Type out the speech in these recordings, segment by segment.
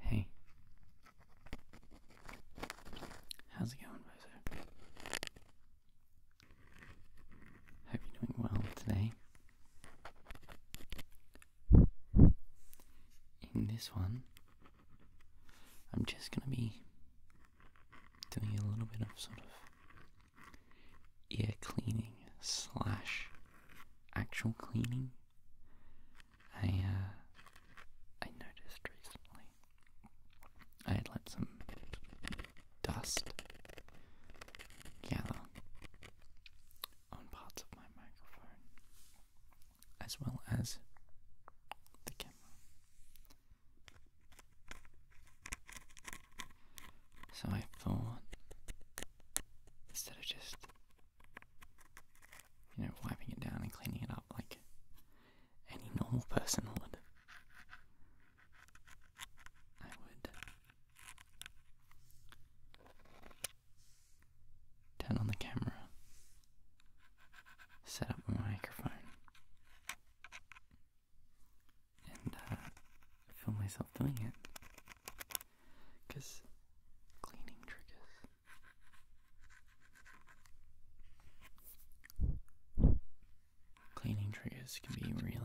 Hey. How's it going, Bozo? Hope you're doing well today. In this one, I'm just going to be doing a little bit of sort of ear cleaning slash actual cleaning. I uh, I noticed recently I had let some dust gather on parts of my microphone as well as the camera. So I thought, instead of just, you know, wiping it down and cleaning it up like any normal person would, I would turn on the camera, set up a microphone, and uh, feel myself doing it. Because cleaning triggers. Cleaning triggers can be really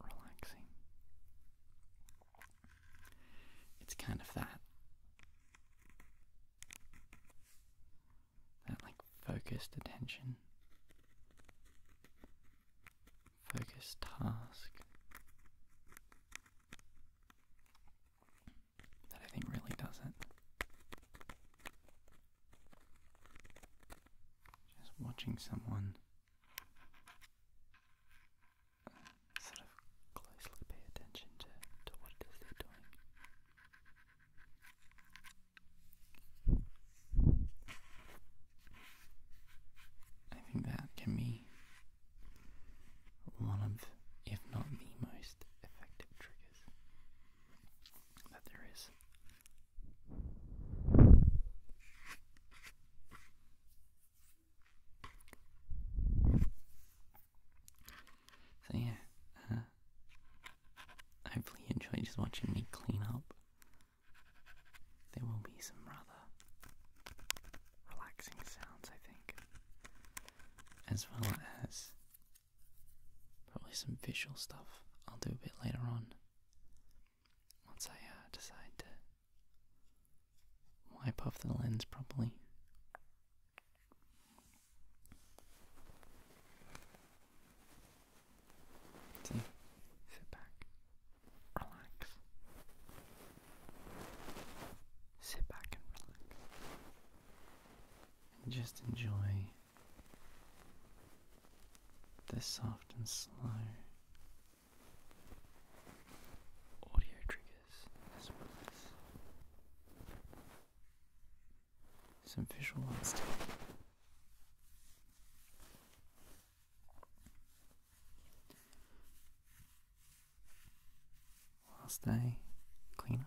relaxing. It's kind of that that like focused attention, focused task that I think really does it. Just watching someone sort of closely pay attention to, to what it is they're doing. I think that can be one of, if not the most effective triggers that there is. So yeah, hopefully uh, you enjoy just watching me clean up. There will be some rather relaxing sounds, I think, as well as probably some visual stuff I'll do a bit later on once I uh, decide to wipe off the lens properly sit back, relax. Sit back and relax. And just enjoy this soft and slow audio triggers as well as some visualized. ones too. clean up.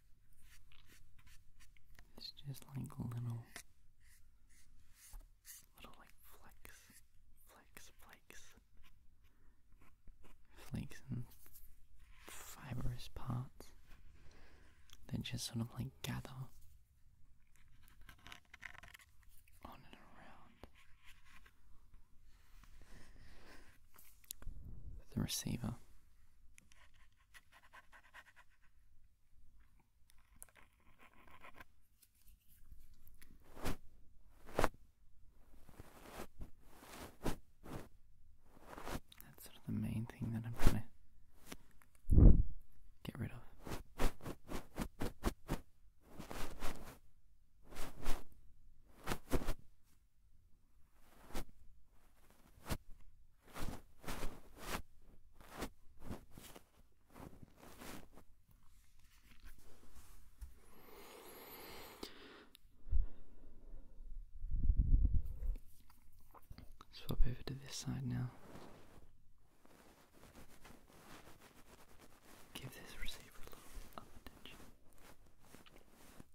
It's just like little, little like flecks, flecks, flakes, flakes and fibrous parts that just sort of like gather on and around the receiver. That's sort of the main thing that I'm going to get rid of. Swap over to this side now. Give this receiver a little attention.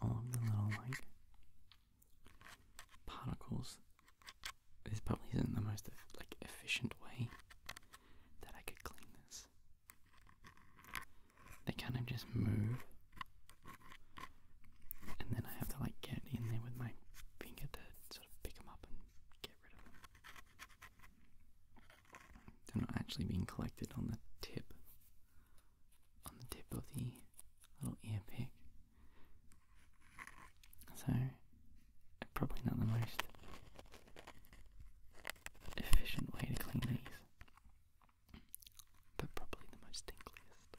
all of the little like particles. This probably isn't the most like efficient way that I could clean this. They kind of just move, and then I have to like get in there with my finger to sort of pick them up and get rid of them. They're not actually being collected on the tip, on the tip of the little earpick. So, probably not the most efficient way to clean these, but probably the most tinkliest.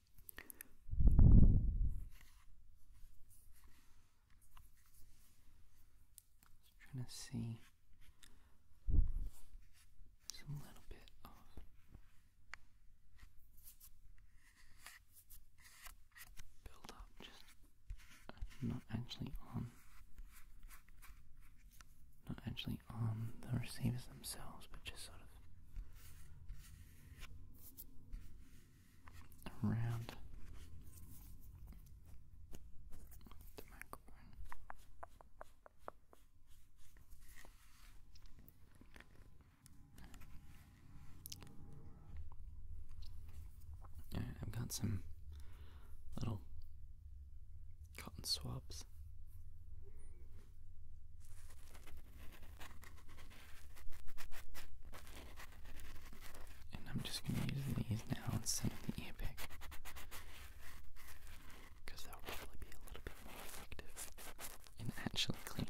Just trying to see just little bit of build just uh, not actually on not actually on the receivers themselves, but just sort of around the microphone. I've got some little cotton swabs. And I'm just going to use these now instead of the epic. Because that will probably be a little bit more effective in actually cleaning.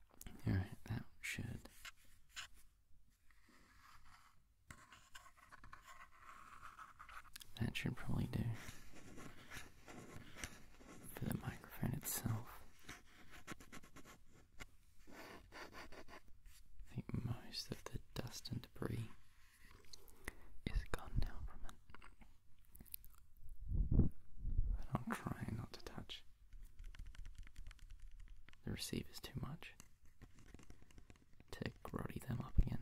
Alright, that should. That should probably do for the microphone itself. I think most of the dust and debris is gone now from it. I'll try not to touch the is too much to cruddy them up again,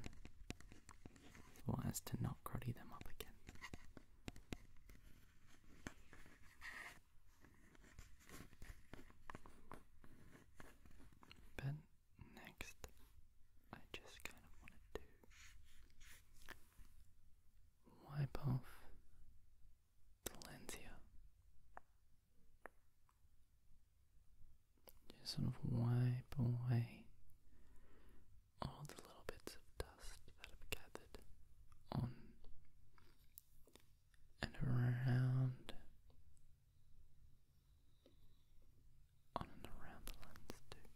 or as to not grotty them up again. But next, I just kind of want to wipe off Valencia. Just sort of wipe away all the little bits of dust that have gathered on and around on and around the lens too.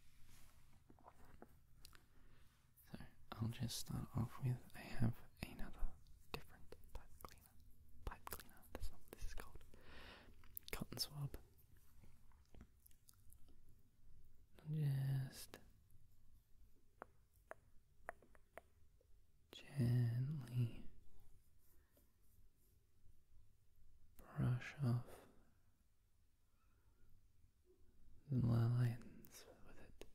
So I'll just start off with I have another different type cleaner. Pipe cleaner, that's not this is called. Cotton swab. Just gently brush off the lines with it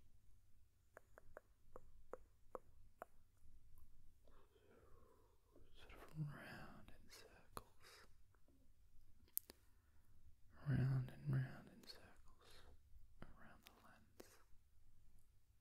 sort of round in circles, round and round in circles around the lens.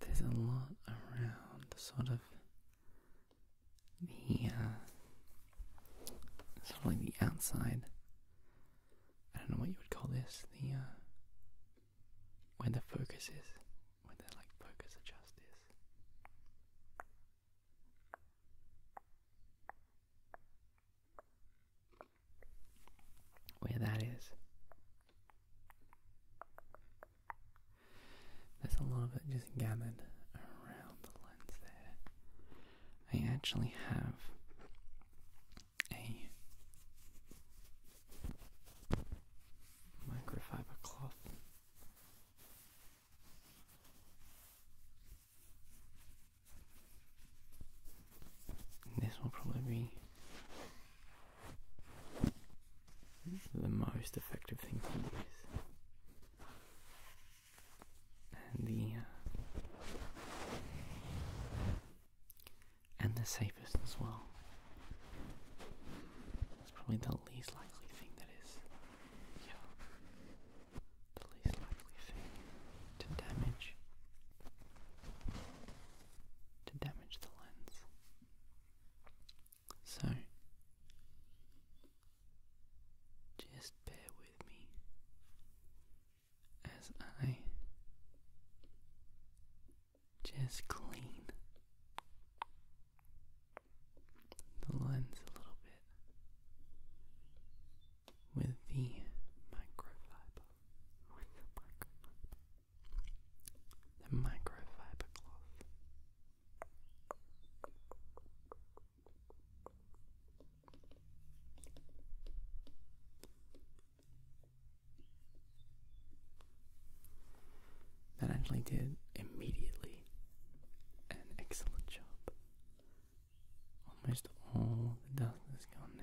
there's a lot around sort of the uh, sort of the outside. I don't know what you would call this. The uh, where the focus is, where the like focus adjust is where that is. There's a lot of it just gathered around the lens there. I actually have a microfiber cloth this will probably be the most effective thing to use, and the uh, and the safest as well. It's probably the least likely thing that is the least likely thing to damage to damage the lens. So just bear with me as I just clean the lens a little bit with the microfiber. The microfiber cloth. That actually did immediately an excellent job Almost all the dust is gone now.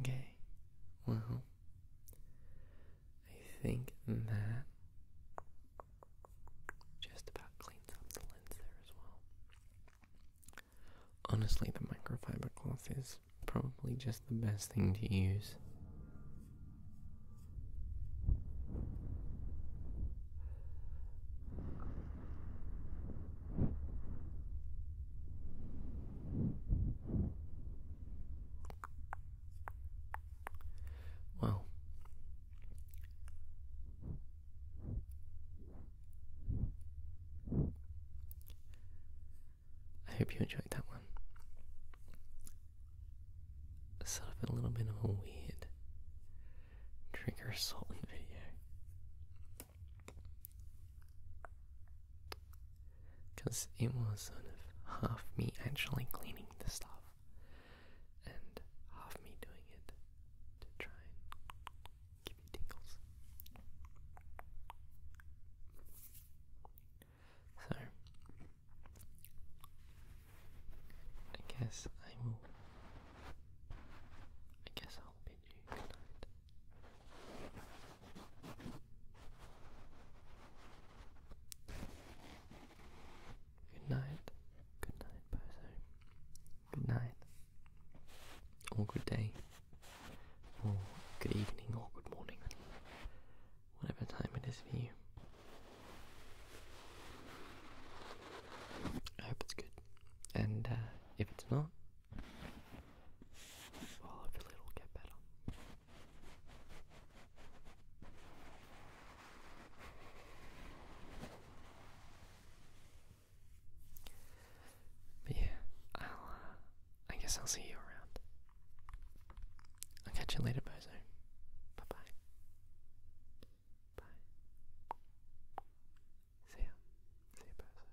Okay, well, I think that just about cleans up the lens there as well. Honestly, the microfiber cloth is probably just the best thing to use. Well, I hope you enjoyed that one. Sort of a little bit of a weird trigger assault video. Because it was sort of half me actually cleaning the stuff and half me doing it to try Give me tingles. So, I guess I will. I guess I'll bid you good night. Good night. Good night, Bozo good night, or good day, or good evening, or good morning, whatever time it is for you. I hope it's good, and uh, if it's not, well, hopefully it'll get better. But yeah, I'll, uh, I guess I'll see you around. I'll catch you later, Bozo. Bye-bye. Bye. See ya. See ya, Bozo.